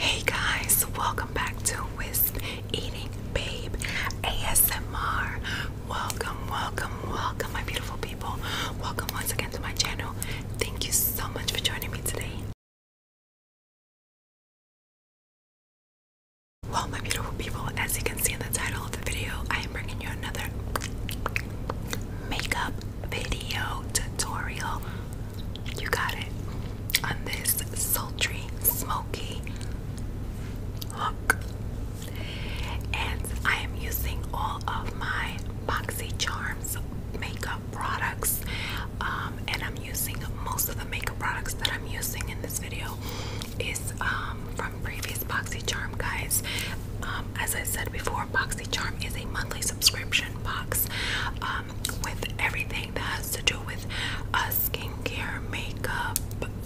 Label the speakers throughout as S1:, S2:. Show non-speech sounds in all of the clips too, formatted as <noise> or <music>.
S1: Hey guys, welcome back to Wisp Eating Babe ASMR. Welcome, welcome, welcome, my beautiful people. Welcome once again to my channel. Thank you so much for joining me today. Well, my beautiful people, as you can see in the title of the video, I am bringing you another makeup video tutorial you got it. On this sultry, smoky look. And I am using all of my Boxy Charms makeup products. Um, and I'm using most of the makeup products that I'm using in this video is um, from previous Boxy Charm guys. Um, as I said before, Boxy Charm is a monthly subscription box with everything that has to do with uh, skincare, makeup,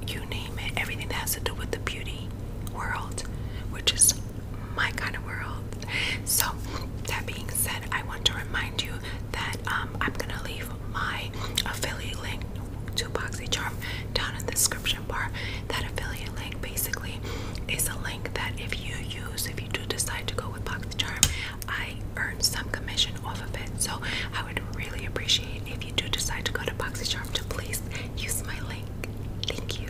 S1: you name it, everything that has to do with the beauty world, which is my kind of world. So, that being said, I want to remind you that um, I'm gonna leave my affiliate link to BoxyCharm down in the description bar. That affiliate link basically is a link that if you use, if you do decide to go with BoxyCharm, I earn some commission off of it. So I would really appreciate if you do decide to go to BoxyCharm to please use my link. Thank you.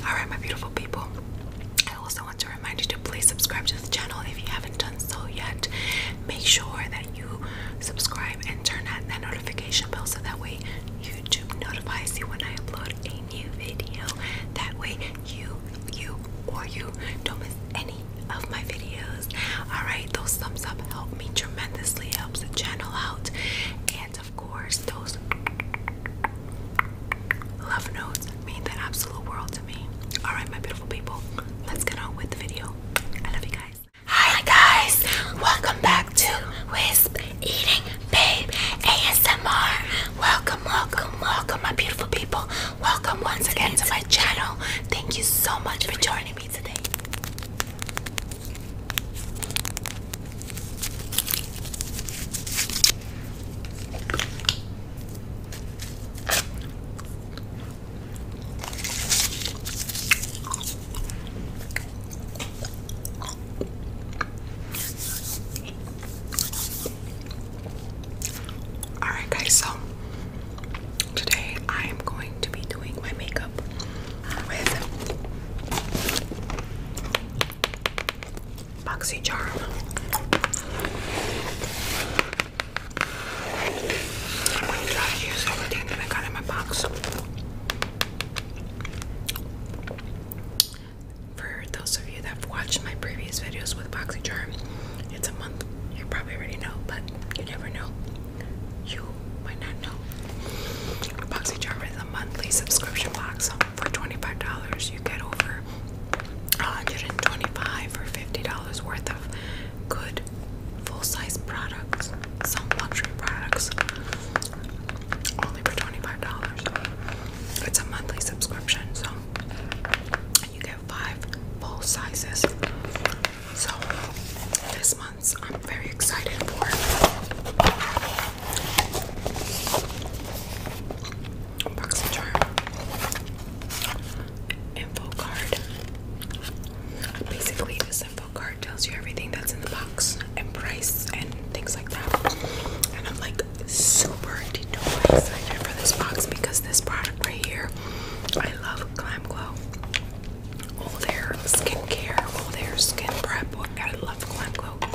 S1: <laughs> Alright, my beautiful people. I also want to remind you to please subscribe to the channel if you haven't done so yet. Make sure that you subscribe and turn on that notification bell so that way YouTube notifies you when I upload a new video. That way you you or you don't miss any of my videos. Alright, those thumbs up help me tremendously, helps the channel out. And of course, those love notes mean the absolute world to me. Alright, my beautiful people, let's get on with the video. I love you guys. Hi guys, welcome back to Wisp Eating Babe ASMR. Welcome, welcome, welcome, my beautiful people. Welcome once again to my channel. Thank you so much for joining me today. Alright, guys, so today I am going to be doing my makeup with BoxyCharm. I'm going to try to use everything that I got in my box for those of you that've watched my previous videos with BoxyCharm, it's a month. You probably already know, but you never know. You might not know. BoxyCharm is a monthly subscription box for $25. You get over 125 or $50 worth of good full-size products, some luxury products, only for $25. It's a monthly subscription, so you get five full sizes. So this month's I'm very excited for. Box charm. Info card. Basically, this info card tells you everything that's in the box and price and things like that. And I'm like, super duper excited for this box because this product right here, I love Glam Glow. All their skincare, all their skin prep. I love Glam Glow.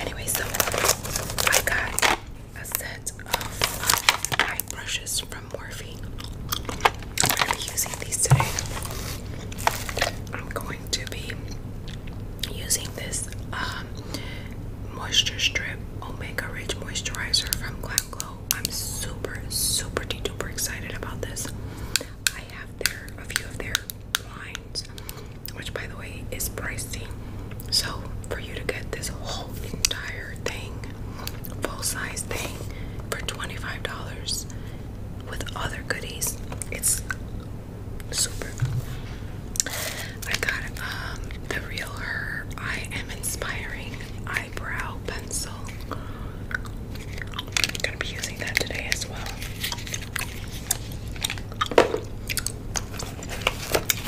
S1: Anyway, so I got a set of um, eye brushes from Morphe. I'm going to be using this um, Moisture Strip Omega Rich Moisturizer from Glam Glow. I'm super, super duper excited about this. I have their a few of their lines, which by the way is pricey. So for you to get this whole entire thing, full size thing, for $25 with other goodies, it's super. I got um, the Real Her I Am Inspiring Eyebrow Pencil. I'm gonna be using that today as well.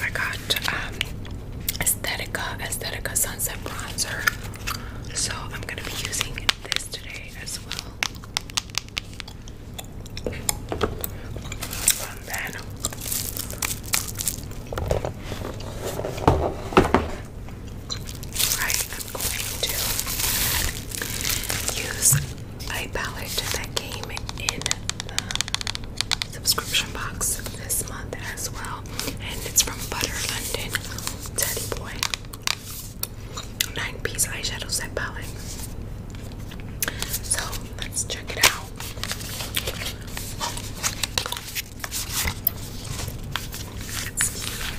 S1: I got um, Aesthetica, Sunset Bronzer. So I'm gonna be using this today as well and I am going to use a palette that came in the subscription box this month as well, and it's from Butter London Teddy Boy. Nine piece eyeshadow set palette. So let's check it out.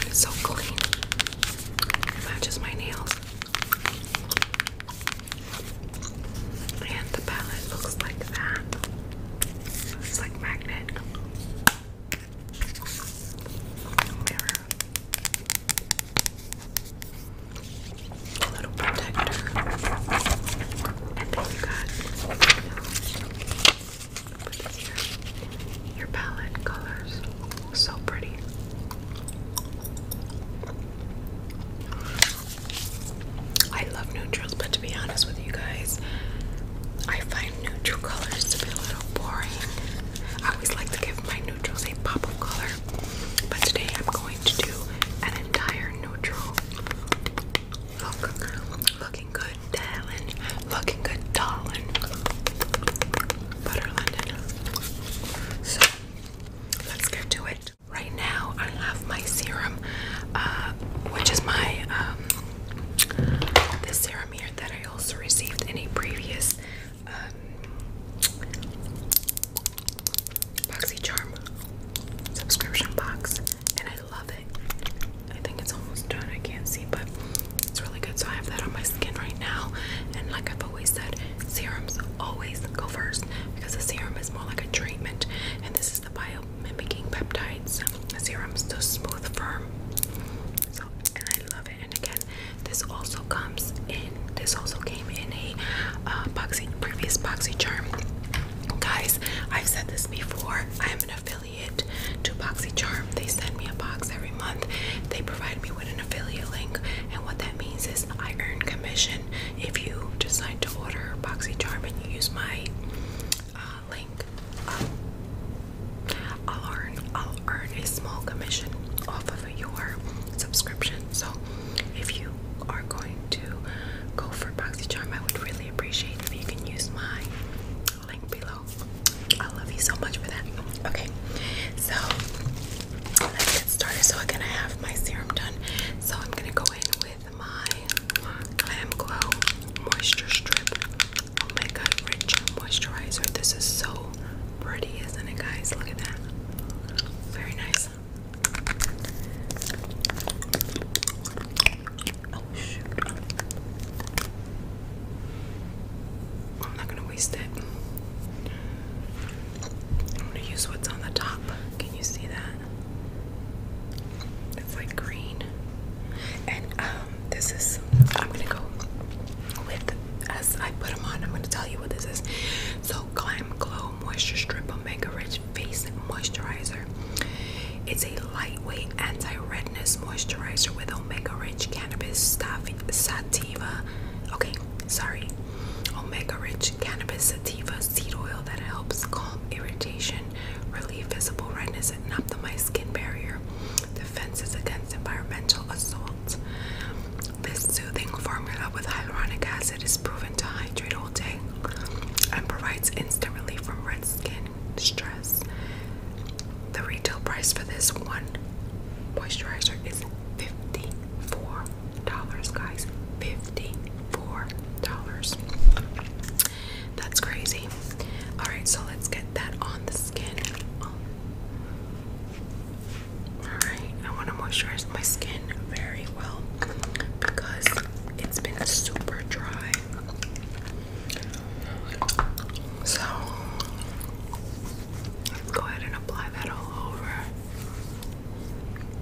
S1: It's so clean. It matches my nails. And the palette looks like that. It's like magnet. Mirror protector. And then you got Your palette colors. So pretty. I love neutrals, but to be honest with you guys, I find neutral colors to be a little boring. I always like to give my neutrals a pop of color, but today I'm going to do an entire neutral looking good, darling. Looking good, darling. Butter London. So, let's get to it. Right now, I have my serum, uh, which is my um, serum here that I also received in a previous um, BoxyCharm subscription box and I love it. I think it's almost done. I can't see, but it's really good. So I have that on my skin right now. And like I've always said, serums always go first because a serum is more like a treatment. And this is the biomimicking peptides the serum, so smooth, firm. So and I love it. And again, this also comes in. This also came in a uh, previous boxy charm. Guys, I've said this before. I am an affiliate to BoxyCharm. They send me a box every month. They provide me with an affiliate link, and what that means is I earn commission if you decide to order BoxyCharm and you use my uh, link. Um, I'll earn I'll earn a small commission off of your subscription. So if you are going to go for BoxyCharm, I would really appreciate if you can use my link below. I love you so much for that. Okay, so let's get started. So I'm gonna have my serum done. So I'm gonna go in with my Glam Glow Moisture Strip Omega oh Rich Moisturizer. This is so pretty, isn't it, guys? Look at that. Very nice. Oh, I'm not gonna waste it. I'm gonna use what's on the top. Can you see that? It's like green. And um, this is I'm gonna go with as I put them on, I'm gonna tell you what this is. So Glam Glow Moisture Strip Omega Rich Face Moisturizer. It's a lightweight anti-redness moisturizer with omega-rich cannabis sativa. Okay, sorry, omega-rich cannabis sativa seed oil that helps calm irritation, relieve visible redness, and optimize skin barrier defenses against environmental assault. This soothing formula with hyaluronic acid is proven to hydrate and provides instant relief from red skin stress. The retail price for this one moisturizer is $54, guys. $54. That's crazy. Alright, so let's get that on the skin. Alright, I want to moisturize my skin very well because it's been super dry so let's go ahead and apply that all over.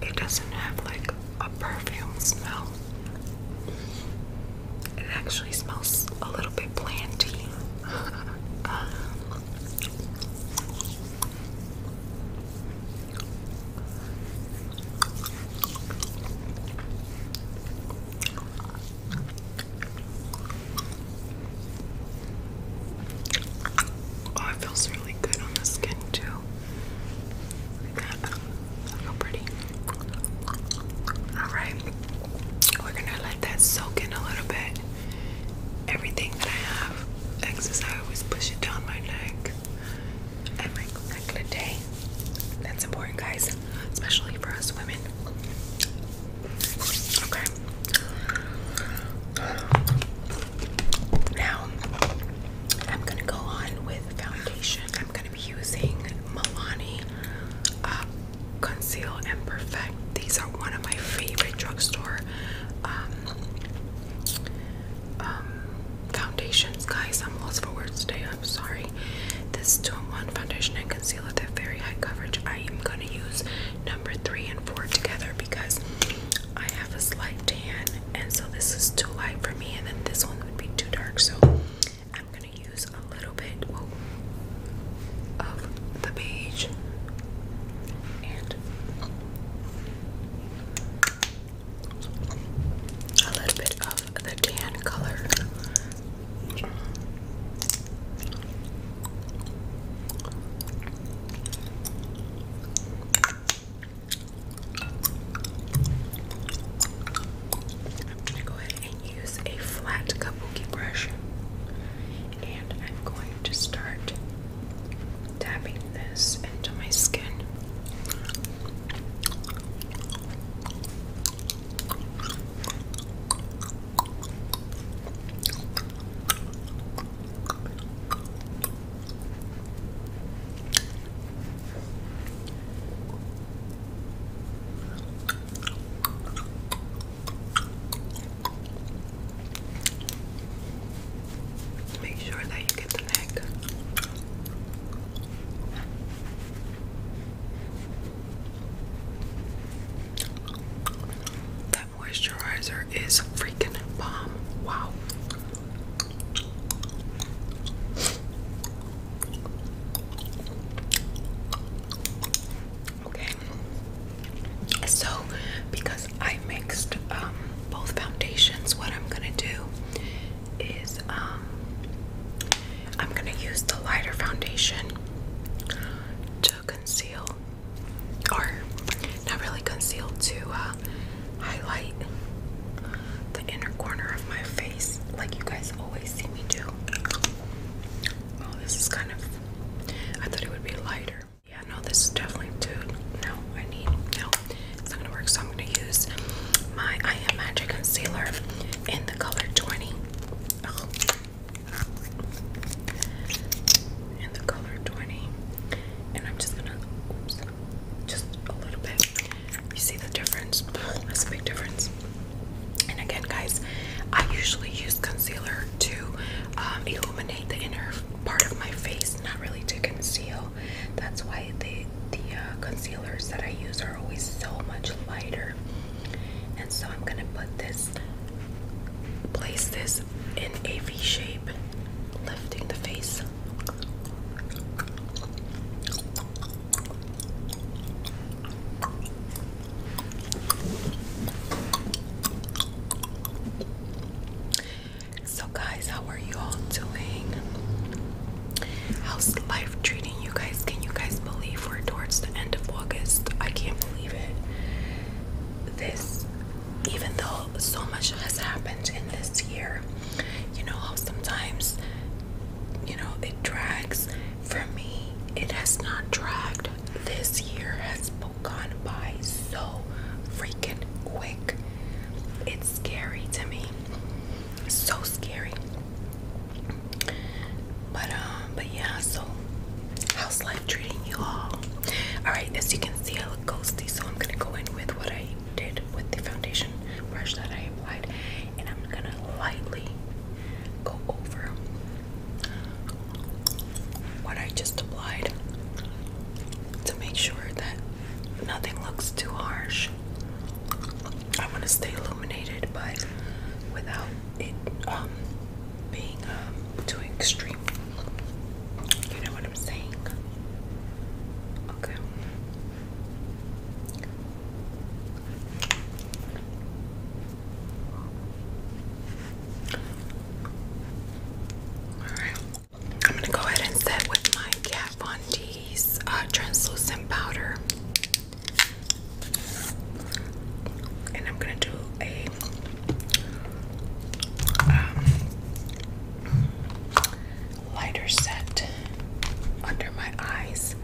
S1: It doesn't have like a perfume smell. It actually smells a little bit planty. <laughs> Oh, it feels really good on the skin too. Look how pretty. Alright. We're gonna let that soak in a little bit. Everything that I have, exercise, I always push it down my neck and my neck day. That's important, guys, especially for us women. Okay. Now, I'm gonna go on with foundation. I'm gonna be using Milani uh, Conceal and Perfect. These are one of my favorite drugstore um, um, foundations. Guys, I'm lost for words today. I'm sorry. This two-in-one foundation and concealer, they're very high coverage. I am gonna use number three and four together because I have a slight tan, and so this is too light for me, and then this one would be too dark. So I'm gonna use a little bit of the beige a little bit of the tan color. I'm going to go ahead and use a flat kabuki brush and I'm going to start tapping this into my skin. Make sure that you get the neck. That moisturizer is freaking bomb. Wow. Okay. So, because I mixed um, both foundations, what I'm going to do is um I'm gonna use the lighter foundation to conceal or not really conceal to uh, highlight the inner corner of my face like you guys always see me do. Oh this is kind of I thought it would be lighter. Yeah no this is definitely too no I need no it's not gonna work, so I'm gonna use my I Am Magic Concealer in the color 20. In the color 20. And I'm just gonna, just a little bit. You see the difference? <sighs> That's a big difference. And again, guys, I usually use concealer to um, illuminate the inner part of my face, not really to conceal that's why the the uh, concealers that I use are always so much lighter. And so I'm gonna put this, place this in a V shape, lifting the face. So, guys, how are you all doing? How's life treating you guys? Can you guys believe we're towards the end of August? I can't believe it. This, even though so much has happened in this year, you know how sometimes, you know, it drags. For me, it has not dragged. This year has gone by so freaking quick. It's scary to me. So scary. But um, but yeah, so how's life treating you all? Alright, as you can see I look ghosty, so I'm gonna go in with what I did with the foundation brush that I applied and I'm gonna lightly go over what I just applied to make sure that nothing looks too harsh. I want to stay illuminated, but without it um, being um, too extreme. You know what I'm saying? Okay. All right. I'm gonna go ahead and set with my Kat Von these uh, translucent powder. And I'm gonna do a um, lighter set under my eyes.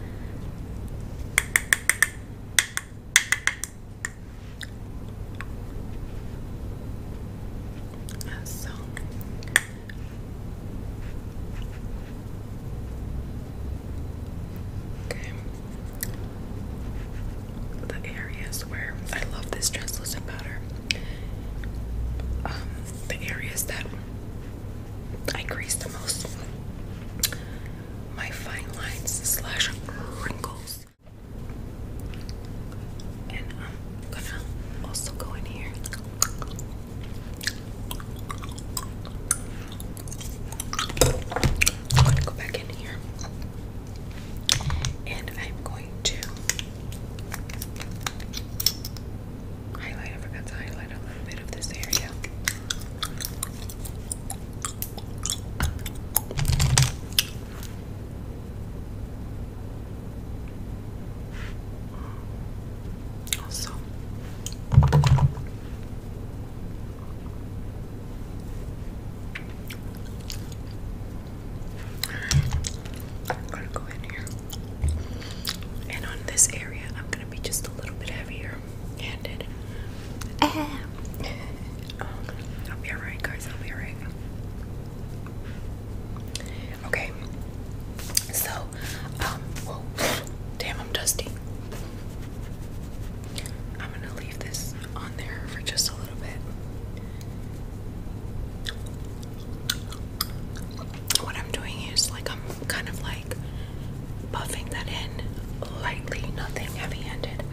S1: So Okay. The areas where I love this translucent powder. Um, the areas that I crease the most. My fine lines slash wrinkles. And I'm gonna also go in here I'm going to go back in here and I'm going to highlight. I forgot to highlight a little bit of this area. I'm gonna go in here and on this area I'm gonna be just a little bit heavier handed <laughs> um, I'll be alright guys I'll be alright okay so, um, damn, I'm dusty. I'm gonna leave this on there for just a little bit. What I'm doing is like I'm kind of like buffing that in lightly, nothing heavy handed.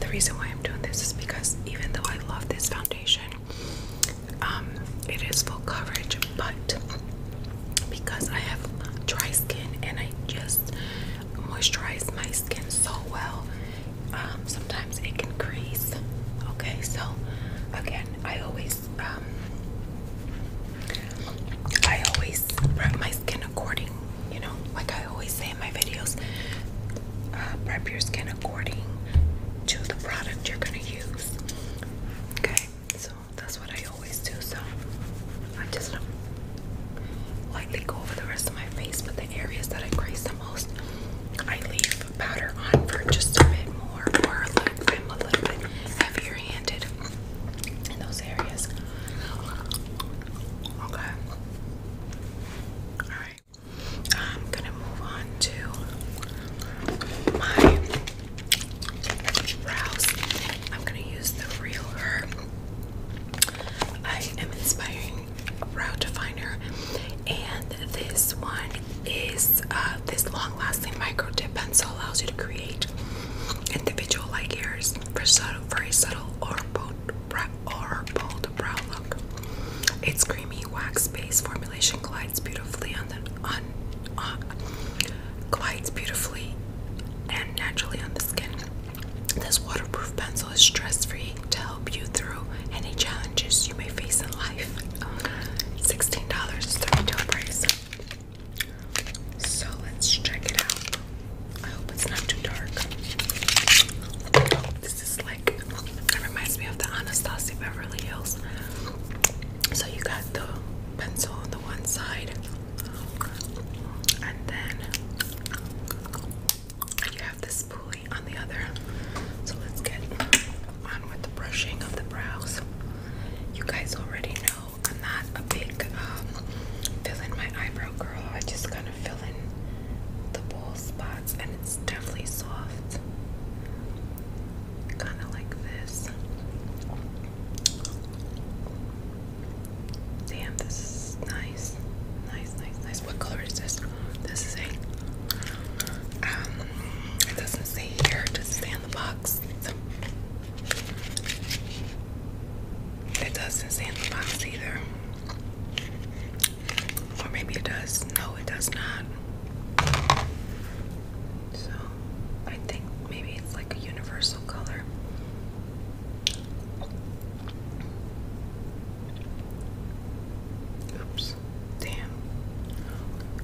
S1: The reason why I'm doing this is because even though I love this foundation, um, it is full coverage, but because I have dry skin and I just moisturize my skin so well, um, sometimes it can crease. Okay, so again, I always um, I always prep my skin according, you know, like I always say in my videos, uh, prep your skin according to the product you're gonna use. Okay, so that's what I always do. So i just gonna um, lightly go over the rest of my face, but the areas that I crease the most, I leave powder on for just a bit more, or like I'm a little bit heavier handed in those areas. Okay. Alright. I'm gonna move on to my brows. I'm gonna use the Real Her. I am inspiring brow definer, and this one is uh, this long-lasting micro tip pencil allows you to create individual like hairs for subtle, very subtle or bold, or bold brow look. Its creamy wax based formulation glides beautifully on the on uh, glides beautifully and naturally on the skin. This waterproof pencil is stress-free to help you through any challenges you may face in life. $16 is the So let's check it out. I hope it's not too dark. This is like, it reminds me of the Anastasia Beverly Hills. So you got the pencil on the one side, and then you have this spoolie on the other. So let's get on with the brushing of the brows. You guys already know I'm not a big um, fill in my eyebrow girl. I just kind of fill in the bowl spots, and it's definitely soft kind of like this. Damn, this is nice. Nice, nice, nice. What color is this? This is a, um, it doesn't say here, it doesn't say on the box. It doesn't say in the box either. Or maybe it does. No, it does not. So I think maybe it's like a universal color. Oops. Damn.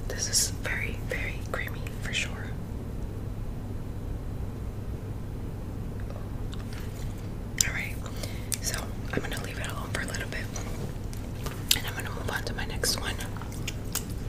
S1: This is very, very creamy for sure. Alright, so I'm gonna leave it alone for a little bit and I'm gonna move on to my next one.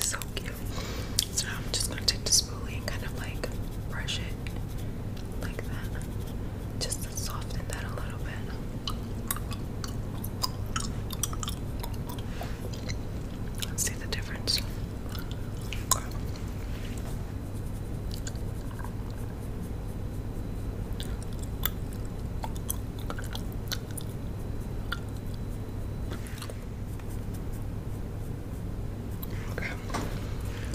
S1: so cute. So now I'm just gonna take the spoolie and kind of like brush it like that. Just to soften that a little bit. see the difference. Okay.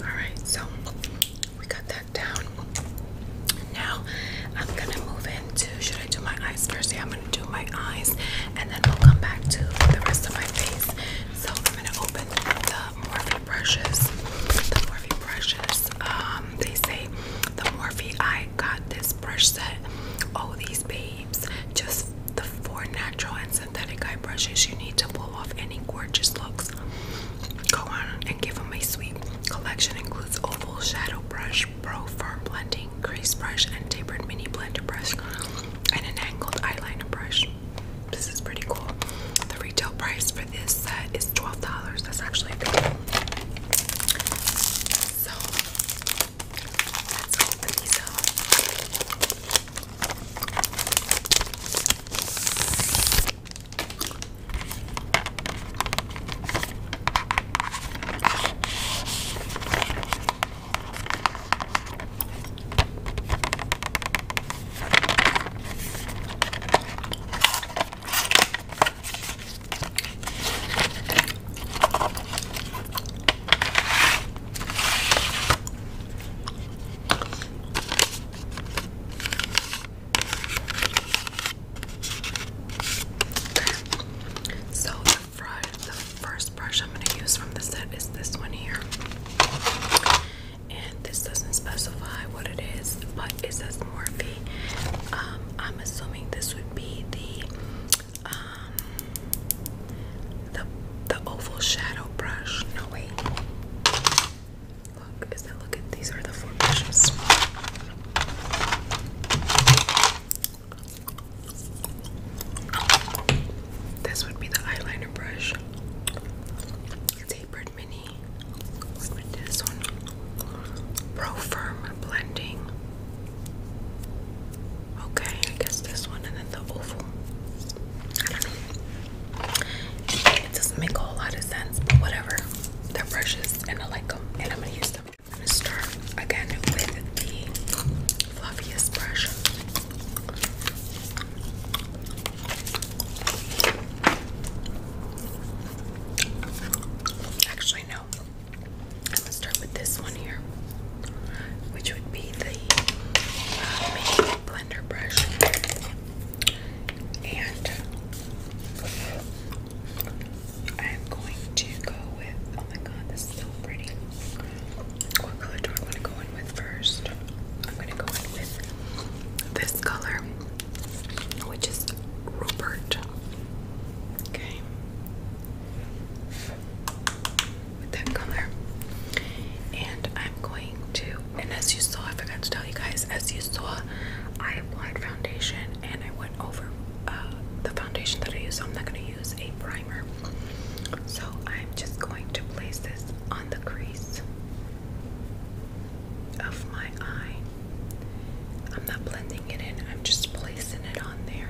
S1: All right. So we got that down. Now I'm gonna move into. Should I do my eyes first? I'm gonna do my eyes, and then we'll come back to the rest of my face. So I'm gonna open the Morphe brushes. The Morphe brushes. Um, they say the Morphe I got this brush set. Oh, these babes, just the four natural and synthetic eye brushes you need to pull off any gorgeous looks. Go on and give them a sweep. Collection includes oval shadow brush, pro firm blending, crease brush, and tapered mini blender brush, and an angled eyeliner brush. This is pretty cool. The retail price for for this set is $12. That's actually a good one. So let's open these up. So the first brush I'm going to use from the set is this one here. And this doesn't specify what it is, but it says Morphe um, I'm assuming this would be the um, the the oval shadow brush. No wait. Look, is that look at these are the four brushes. This would be the eyeliner brush. Tapered mini me with this one. Pro Firm Blending. Okay, I guess this one and then the oval. I don't know. It doesn't make a lot of sense, but whatever. They're brushes and I like them and I'm gonna use them. I'm gonna start again with the fluffiest brush. Actually, actually no. I'm gonna start with this one here, which would be the uh, blender brush, and I'm going to go with. Oh my god, this is so pretty. What color do I want to go in with first? I'm gonna go in with this color which oh, is Rupert. Okay. With that color. And I'm going to, and as you saw, I forgot to tell you guys, as you saw, I applied foundation and I went over uh, the foundation that I use. So I'm not going to use a primer. So I'm just going to place this on the crease of my eye. I'm not blending it in, I'm just placing it on there.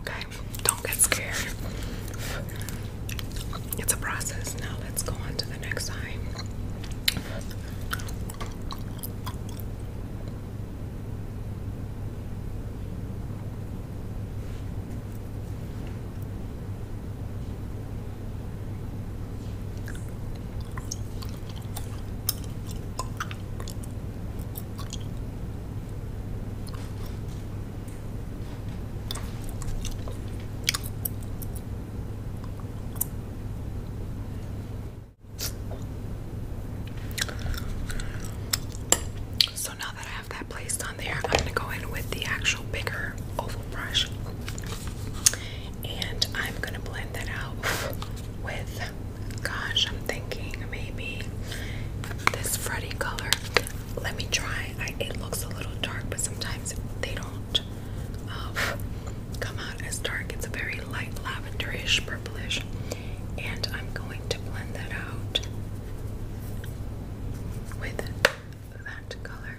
S1: Okay, don't get scared. It's a process. Now let's go on to the next eye. So now that I have that placed on there, I'm going to go in with the actual bigger oval brush and I'm gonna blend that out with, gosh, I'm thinking maybe this Freddy color. Let me try. it looks a little dark, but sometimes they don't um, come out as dark. It's a very light lavenderish, purplish, and I'm going to blend that out with that color.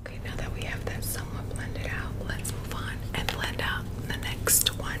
S1: Okay, now that we have that somewhat blended out, let's move on and blend out the next one.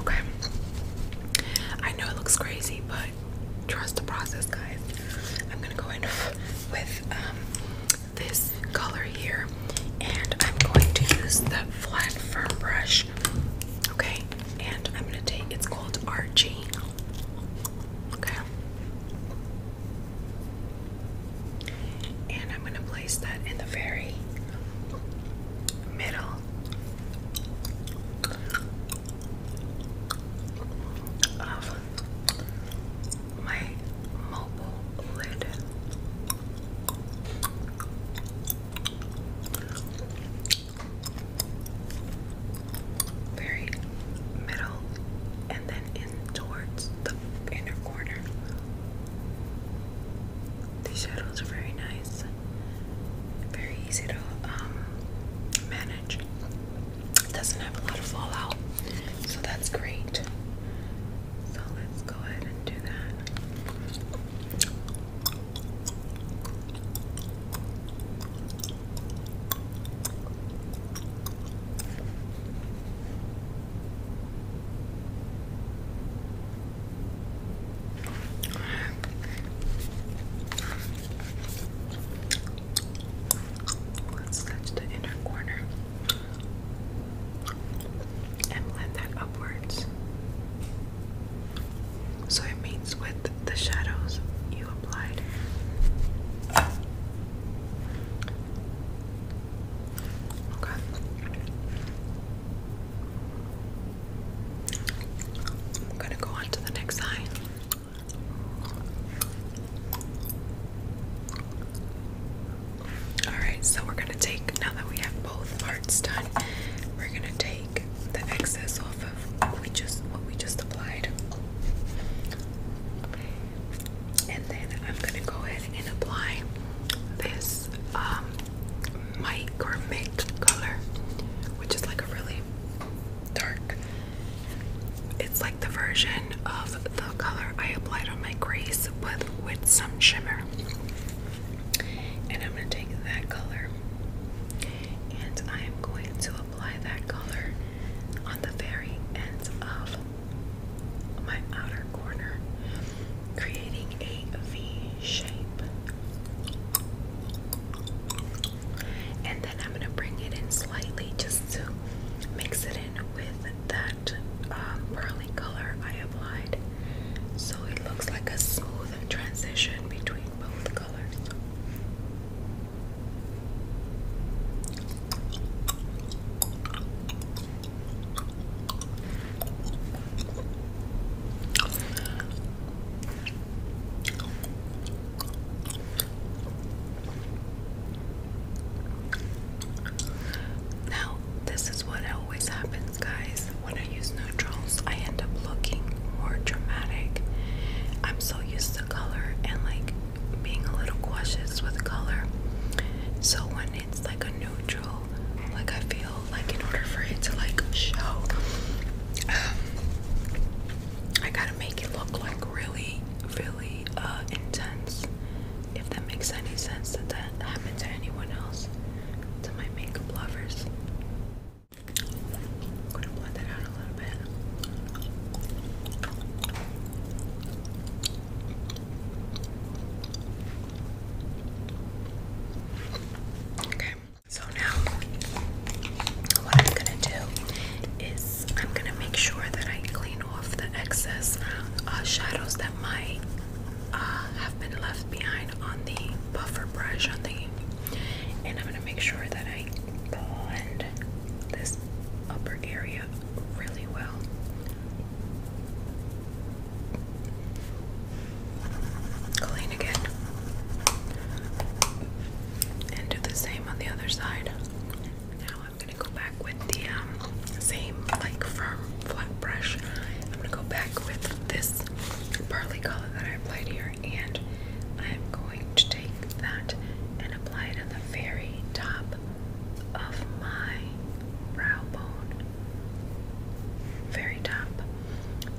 S1: Okay. I know it looks crazy, but trust the process, guys. I'm gonna go in <laughs> with um, this color here, and I'm going to use the flat firm brush. Okay, and I'm gonna take it's called Archie. Okay, and I'm going to place that in the very middle. Of my mobile lid, very middle, and then towards the inner corner. These shadows are very nice, very easy to um, manage. doesn't have a lot of fallout, so that's great. So let's go ahead and do that let the inner corner and blend that upwards. So it meets with the shadows you applied. Okay. I'm gonna go on to the next sign. Alright, so we're gonna take, now that we have both parts done, we're gonna take the excess off of we just what we just applied and then I'm gonna go ahead and apply this um, color, which is like a really dark. It's like the version of the color I applied on my crease, but with some shimmer. And I'm gonna take that color, and I am going to apply that color on the very ends of my outer corner, creating a V shape. And then I'm going to bring it in slightly just to mix it in with that um, pearly color I applied. So it looks like a smooth transition between both colors. Now, this is what always happens, guys. When I use neutrals, I end up looking more dramatic. I'm so used to color and like being a little cautious with color. So when it's like a neutral, like I feel like in order for it to like show, um, I gotta make it look like really, really uh, intense. If that makes any sense, that that happened to anyone else, to my makeup lovers. I'm gonna blend it out a little bit. Okay, so now what I'm gonna do is I'm gonna make sure that I clean off the excess uh, shadows that might uh, have been left behind on the buffer brush on the and I'm gonna make sure that I blend this upper area really well. Clean again. And do the same on the other side. Now I'm gonna go back with the um, same like firm flat brush. I'm gonna go back with this pearly color that I applied here and I'm going to take that and apply it on the very top of my brow bone, very top.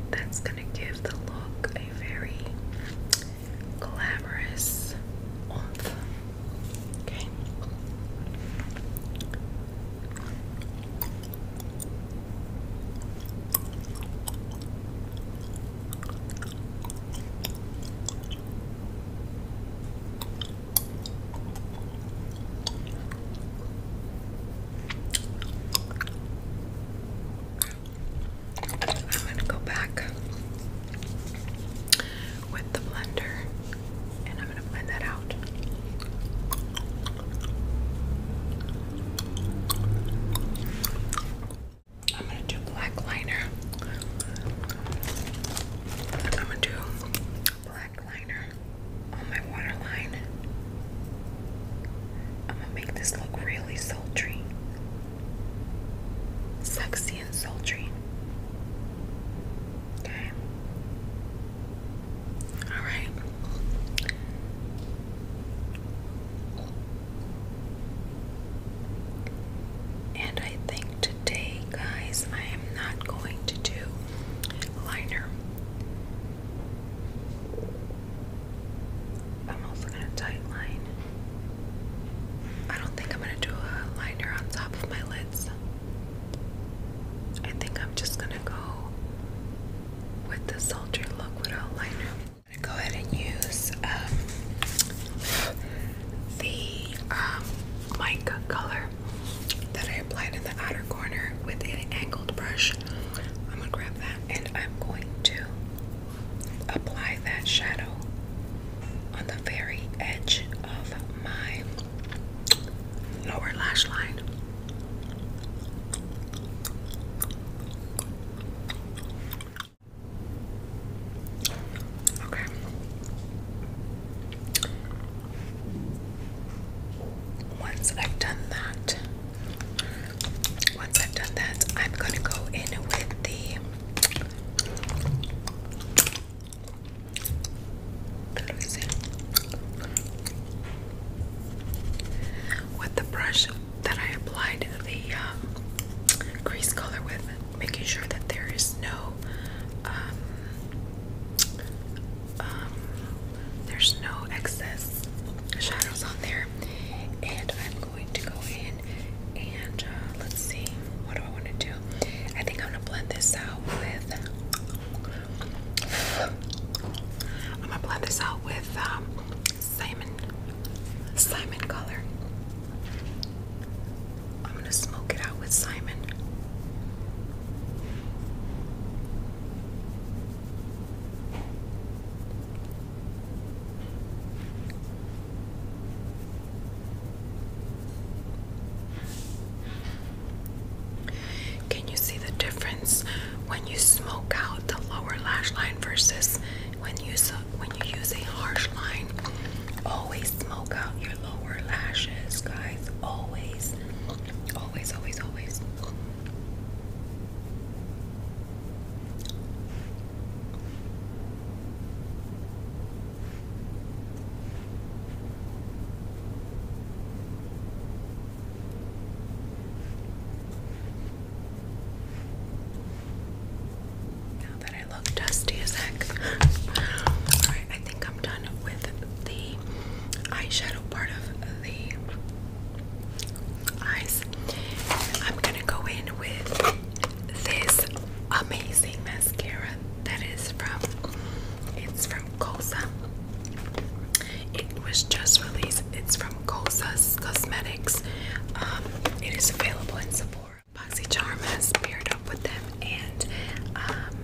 S1: That's gonna give the look a very glamorous oomph. Okay. I'm going to go back with the blender and I'm going to blend that out. I'm going to do black liner I'm gonna do black liner on my waterline. I'm gonna make this look really sultry, sexy and sultry. Okay. All right. And I think today, guys, I am not going to do liner. I'm also going to tight line. I don't think I'm going to do a liner on top of my lids. I think I'm just going to go with the sultry Look Without Liner. go ahead and use um, the um, mica color that I applied in the outer corner with an angled brush. I'm gonna grab that and I'm going to apply that shadow on the very edge of my lower lash line. Okay. Once I've done that, once I've done that, I'm gonna go in with the With the brush that I applied the um, crease color with, making sure that there is no um, um, there's no excess shadows on there and I'm going to go in and uh, let's see what do I want to do I think I'm gonna blend this out with I'm gonna blend this out with um, Simon Simon color I'm gonna smoke it out with Simon. Can you see the difference when you smoke out the lower lash line versus when you when you use a harsh line? Always smoke out your lower lashes, guys. Always, always, always, always that I dusty as heck. Alright, I think I'm done with the eyeshadow part of the eyes. I'm gonna go in with this amazing mascara that is from it's from Cosa. It was just released. It's from Cosa Cosmetics. Um, it is available in Sephora. BoxyCharm has paired up with them, and um,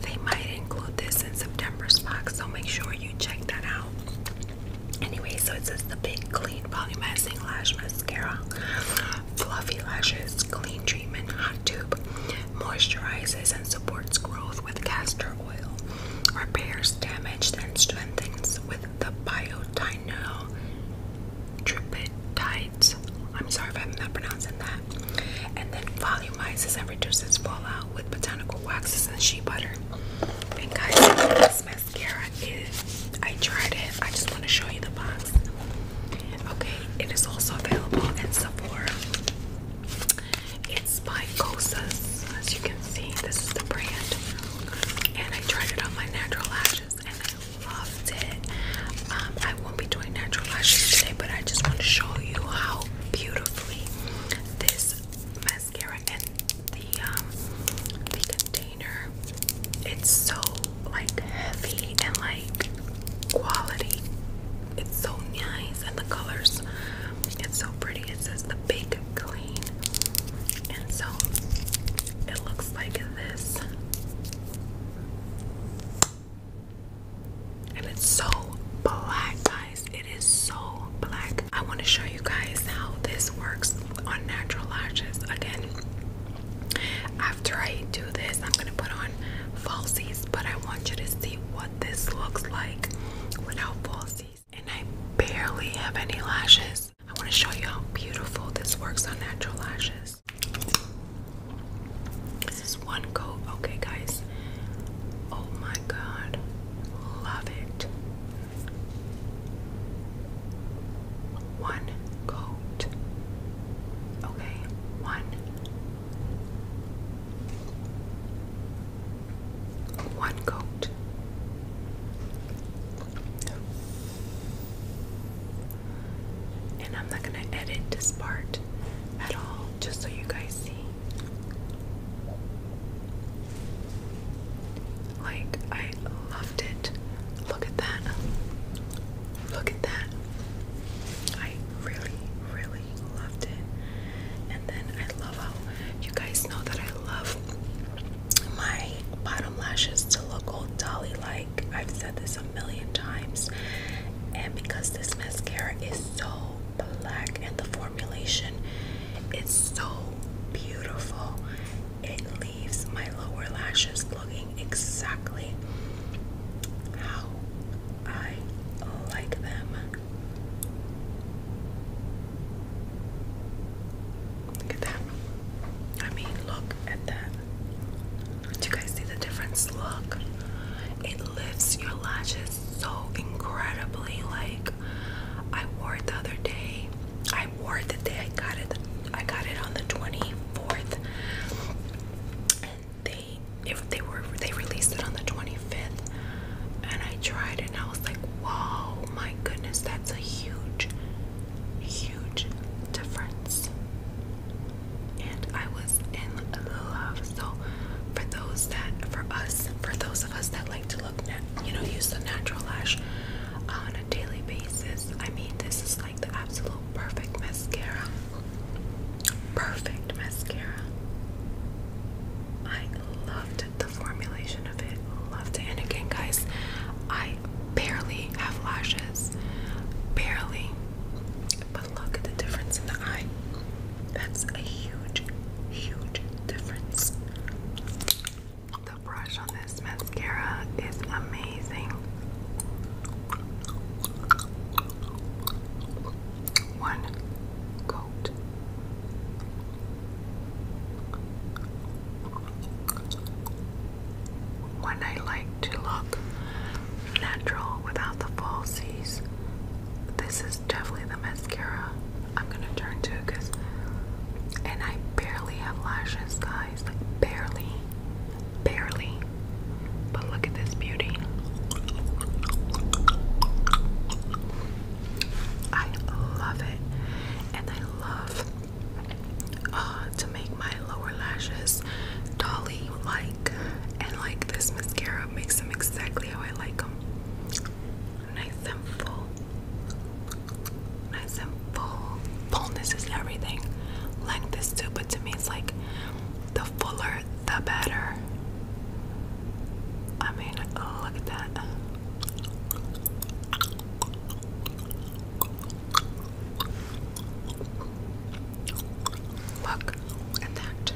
S1: they might include this in September's box, so make sure you check that out. Anyway, so it says the Big Clean Volumizing Lash Mascara, Fluffy Lashes, Clean Treatment, Hot Tube, moisturizes and supports growth with castor oil, repairs damaged and strengthens with the biotin. I know I'm sorry if I'm not pronouncing that. And then volumizes and reduces fallout with botanical waxes and shea butter. And guys, this mascara is I tried it. I just want to show you the box. Okay, it is also available at Sephora. It's by Kosas, as you can see. This is the brand. And I tried it on my natural lash and I loved it. Um, I won't be doing natural lashes today, but I just want to show you how beautifully this mascara and the um, the container. It's so like heavy and like quality. It's so nice and the colors. It's so pretty. It says the big clean, and so it looks like this. And it's so black, guys. It is so black. I want to show you guys how this works on natural lashes. Again, after I do this, I'm going to put on falsies, but I want you to see what this looks like without falsies. And I barely have any lashes. I want to show you how beautiful this works on natural lashes this. is one coat. Okay, guys. Oh my god. Love it. One coat. Okay, one. One coat. And I'm not going to edit this part at all, just so you guys see. Like, I loved it. Look at that. Look at that. I really, really loved it. And then I love how you guys know that I love my bottom lashes to look old dolly like. I've said this a million times and because this mascara is so black and the formulation is so beautiful it leaves my lower lashes looking exactly how I like them. Look at that. I mean, look at that. Do you guys see the difference? Look, it lifts your lashes so incredibly. Like I wore it the other day. I wore it the day I got it. I got it on the 24th. And they if they were they released it on the 25th and I tried it and I was like, "Whoa, my goodness, that's a huge huge difference." and I was in love. So for those that, for us, for those of us that like to look, you know, use the natural lash on a daily basis, I mean, this is like the absolute perfect mascara. Perfect mascara. I loved the formulation of it. Loved it. And again, guys, I barely have lashes. Barely. But look at the difference in the eye. That's a huge, huge difference. The brush on this mascara is amazing. One coat when I like to look natural without the falsies. This is definitely the mascara I'm gonna turn to because, and I barely have lashes, guys. Like, barely. Barely. But look at this beauty. I love it. And I love uh, to make my lower lashes dolly like, and like this mascara makes them exactly how I like them. Nice and full. Nice and full. Fullness is everything. Like this too, but to me, it's like the fuller, the better. I mean, look at that. Look at that.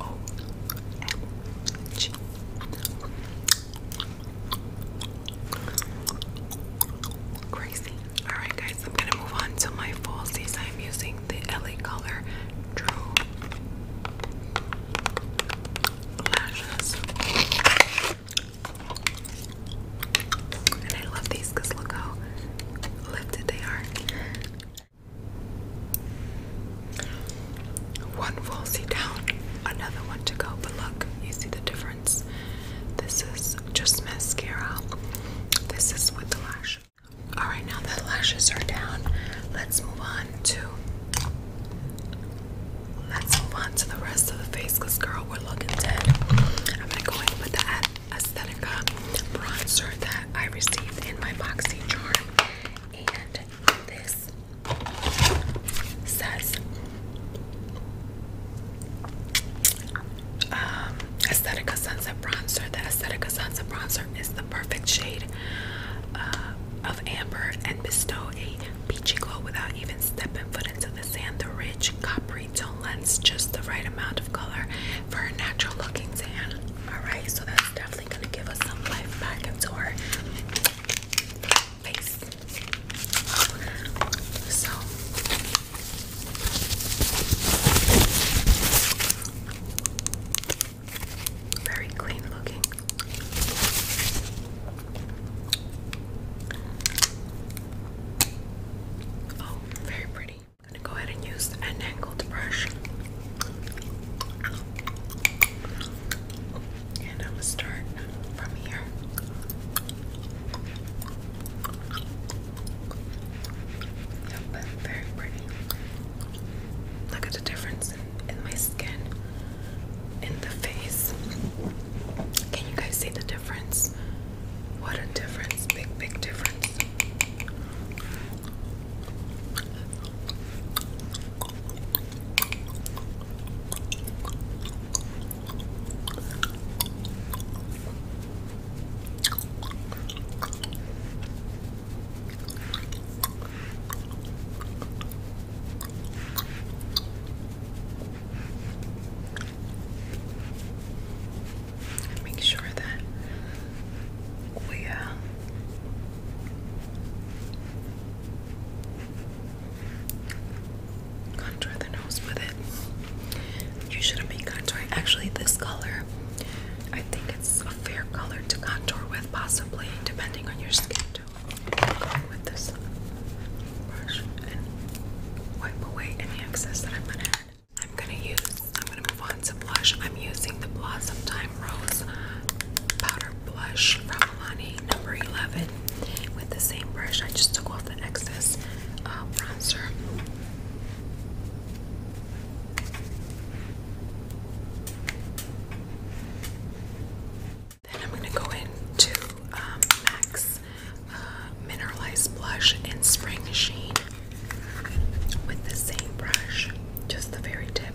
S1: Oh, Crazy. Alright, guys, I'm gonna move on to my falsies. I'm using the LA color True Lashes. And I love these because look how lifted they are. One full seat down, another one to go, but look, you see the difference. This is just mascara. This is with the lash. Alright, now that the lashes are down, let's move on to let's move on to the rest of the face because girl we're looking dead. I'm going with the ad Aesthetica bronzer that I received in my Boxy Charm. And this says um, Aesthetica Sunset Bronzer. The Aesthetica Sunset Bronzer is the perfect shade uh, of amber and bestow a peachy glow without even stepping foot into of the sand, the rich coppery tone lends just the right amount of color for a natural looking sand. Alright, so that's definitely going to give us some life back into our face. So, very clean looking. Oh, very pretty. I'm gonna go ahead and use an angled brush. And I'm gonna start from here. Yep, very pretty. Look at the difference in, my skin, in the face. Can you guys see the difference? What a difference, big, big difference make sure that we uh, contour the nose with it. You should have been contouring. Actually, this color, I think it's a fair color to contour with, possibly, depending on your skin tone. with this brush and wipe away any excess that I'm gonna I'm gonna use, I'm gonna move on to blush. I'm using the Blossom Time Rose Powder Blush from Milani number 11 with the same brush. I just took off the excess um, bronzer. Then I'm gonna go into um, Max mineralized blush in Spring Sheen with the same brush, just the very tip.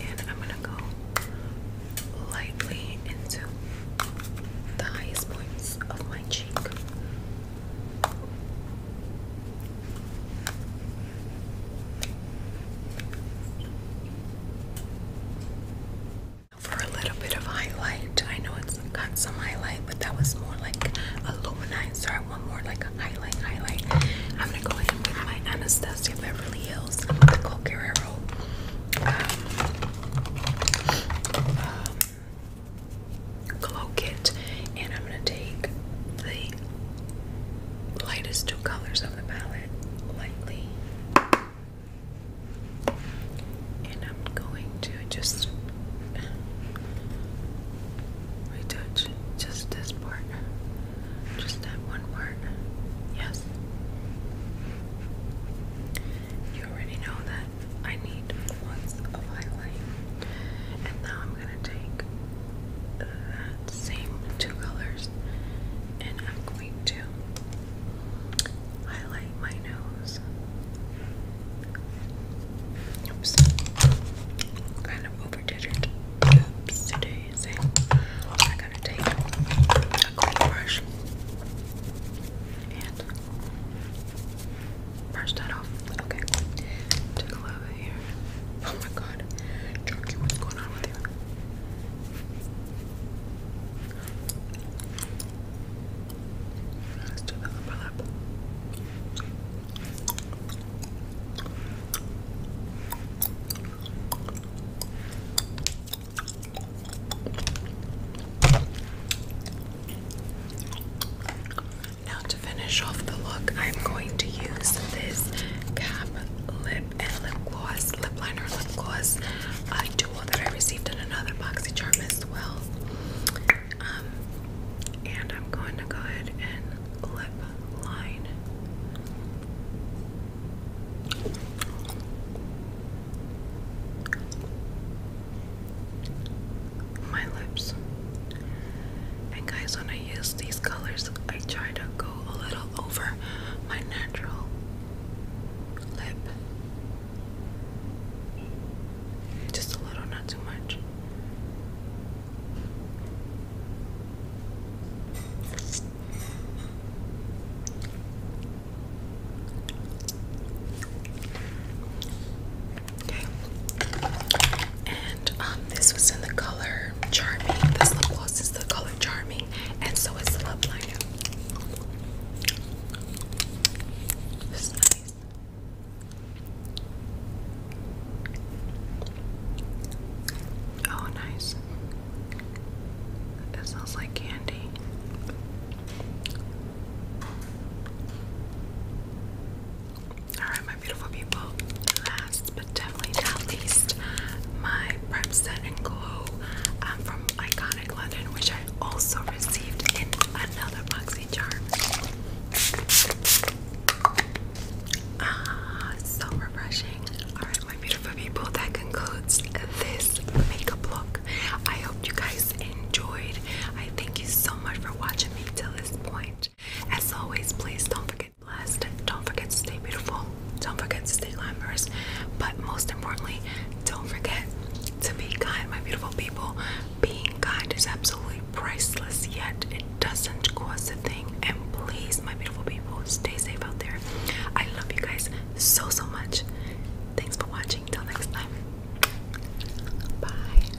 S1: And I'm gonna go lightly into the highest points of my cheek for a little bit of highlight. I know it's got some highlight, but that was more like a luminizer. I want more like a highlight, highlight. I'm gonna go ahead with my Anastasia Beverly Hills Nicole um, um, glow kit and I'm gonna take the lightest two colors of the palette lightly and I'm going to just retouch just this part, just that one part. Yes, you already know that I need lots of highlight, and now I'm gonna take that same two colors and I'm going to highlight my nose. Oops. Kind of overdid it. Oops, daisy. I gotta take a clean and brush that off. Okay. Take a little bit here. Oh my god. Jerky, what's going on with you? Now to finish off the look, I'm going to use this cap lip and lip gloss, lip liner lip gloss. Uh, that I received in another charm as well. Um, and I'm going to go ahead and lip line. My lips. And guys, when I use these colors, I try to go a little over my natural lip just a little, not too much. Okay. And um, this was in the color Charming. This lip gloss is the color Charming, and so is the lip liner guys. Oh, nice. It smells like candy. Alright, my beautiful people. Last but definitely not least, my Prep Set and Glow um, from Iconic which I also received in another boxy charm. Ah, so refreshing. Alright, my beautiful people, that concludes this makeup look. I hope you guys enjoyed. I thank you so much for watching me till this point. As always, please don't forget to blessed. Don't forget to stay beautiful. Don't forget to stay glamorous. But most importantly, don't forget to be kind, my beautiful people, being kind is absolutely priceless, yet it doesn't cost a thing. And please, my beautiful people, stay safe out there. I love you guys so, so much. Thanks for watching. Till next time. Bye.